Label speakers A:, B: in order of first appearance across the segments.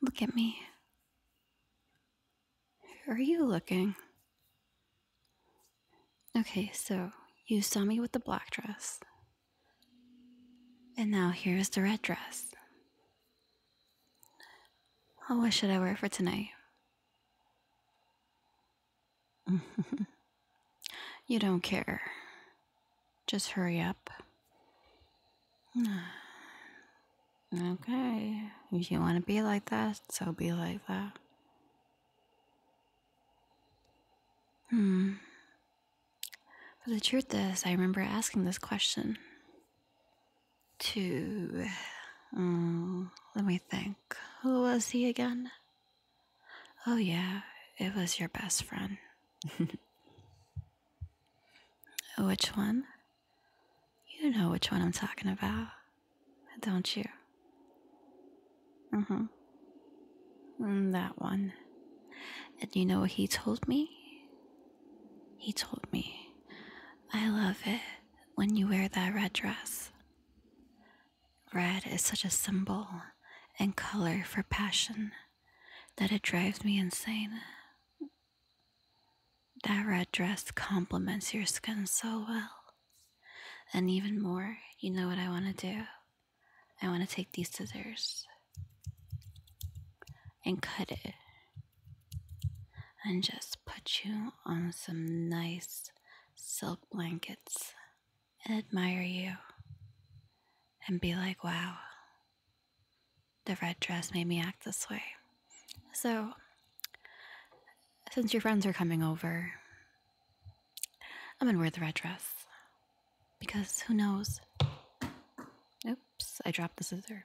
A: Look at me. Who are you looking? Okay, so you saw me with the black dress. And now here's the red dress. Oh, what should I wear for tonight? you don't care. Just hurry up. Okay. If you want to be like that, so be like that. Hmm. But the truth is, I remember asking this question to. Um, let me think. Who was he again? Oh, yeah, it was your best friend. which one? You know which one I'm talking about, don't you? Mm-hmm. Mm hmm. that one. And you know what he told me? He told me, I love it when you wear that red dress. Red is such a symbol and color for passion that it drives me insane. That red dress complements your skin so well. And even more, you know what I want to do? I want to take these scissors and cut it and just put you on some nice silk blankets and admire you and be like, wow, the red dress made me act this way. So, since your friends are coming over, I'm gonna wear the red dress. Because who knows? Oops, I dropped the scissors.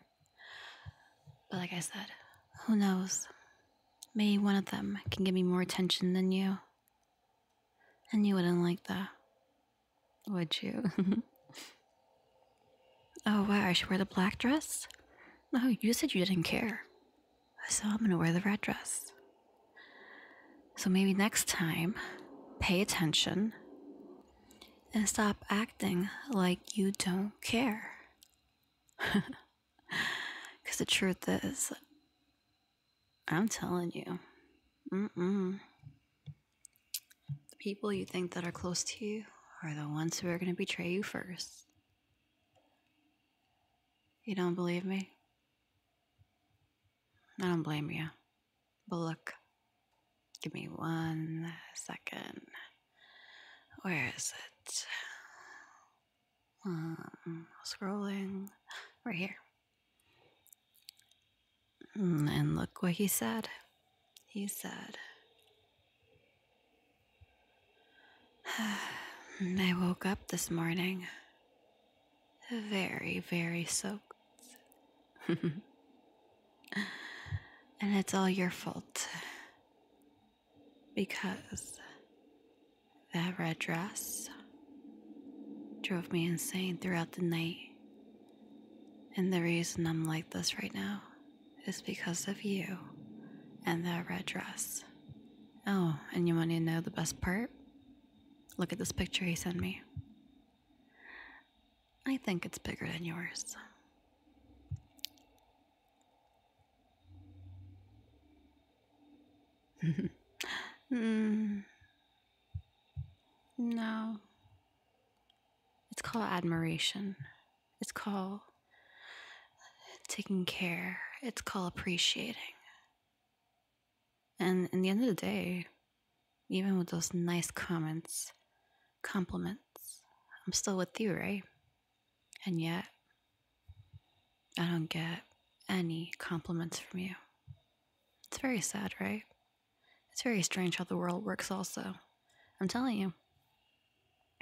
A: But like I said, who knows? Maybe one of them can give me more attention than you. And you wouldn't like that, would you? oh, wow, I should wear the black dress? No, you said you didn't care. I said I'm gonna wear the red dress. So maybe next time, pay attention and stop acting like you don't care. Because the truth is, I'm telling you, mm-mm. the people you think that are close to you are the ones who are going to betray you first. You don't believe me? I don't blame you. But look, give me one second. Where is it? Um, scrolling right here. Mm, and look what he said. He said, I woke up this morning very, very soaked. and it's all your fault because that red dress drove me insane throughout the night. And the reason I'm like this right now is because of you and that red dress. Oh, and you want to know the best part? Look at this picture he sent me. I think it's bigger than yours. Hmm. No. It's called admiration. It's called taking care. It's called appreciating. And in the end of the day, even with those nice comments, compliments. I'm still with you, right? And yet, I don't get any compliments from you. It's very sad, right? It's very strange how the world works, also. I'm telling you,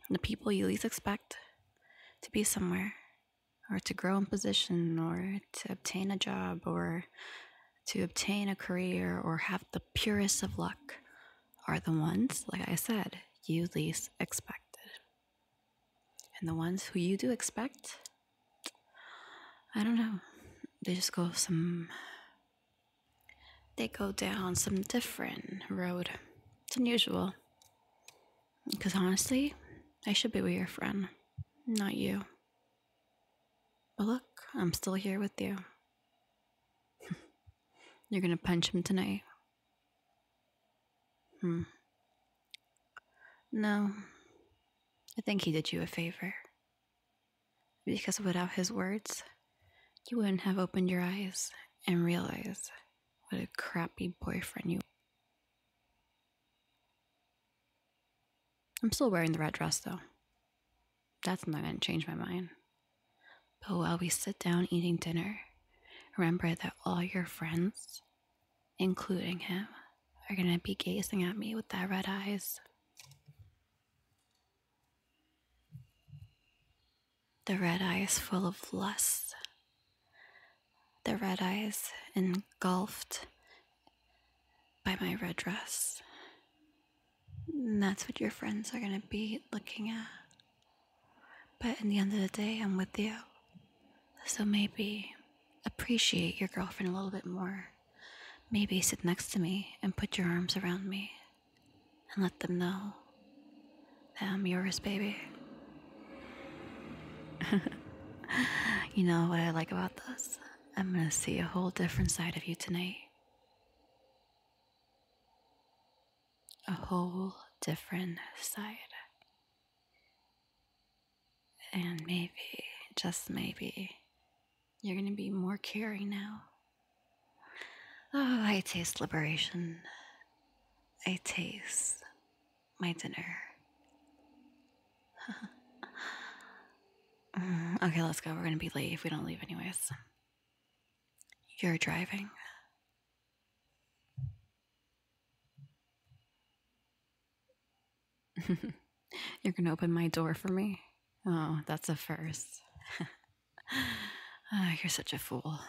A: the people you least expect to be somewhere, or to grow in position, or to obtain a job, or to obtain a career or have the purest of luck are the ones, like I said, you least expected. And the ones who you do expect, I don't know, they just go some, they go down some different road. It's unusual. Because honestly, I should be with your friend, not you. But look, I'm still here with you. You're gonna punch him tonight. Hmm. No. I think he did you a favor. Because without his words, you wouldn't have opened your eyes and realized what a crappy boyfriend you I'm still wearing the red dress though. That's not going to change my mind. But while we sit down eating dinner, remember that all your friends, including him, are going to be gazing at me with their red eyes. The red eyes full of lust. The red eyes engulfed by my red dress. And that's what your friends are going to be looking at. But in the end of the day, I'm with you. So maybe appreciate your girlfriend a little bit more. Maybe sit next to me and put your arms around me and let them know that I'm yours, baby. you know what I like about this? I'm gonna see a whole different side of you tonight. A whole different side. And maybe, just maybe, you're gonna be more caring now. Oh, I taste liberation. I taste my dinner. Mm, okay, let's go. We're gonna be late if we don't leave, anyways. You're driving. You're gonna open my door for me? Oh, that's a first. Ah, you're such a fool.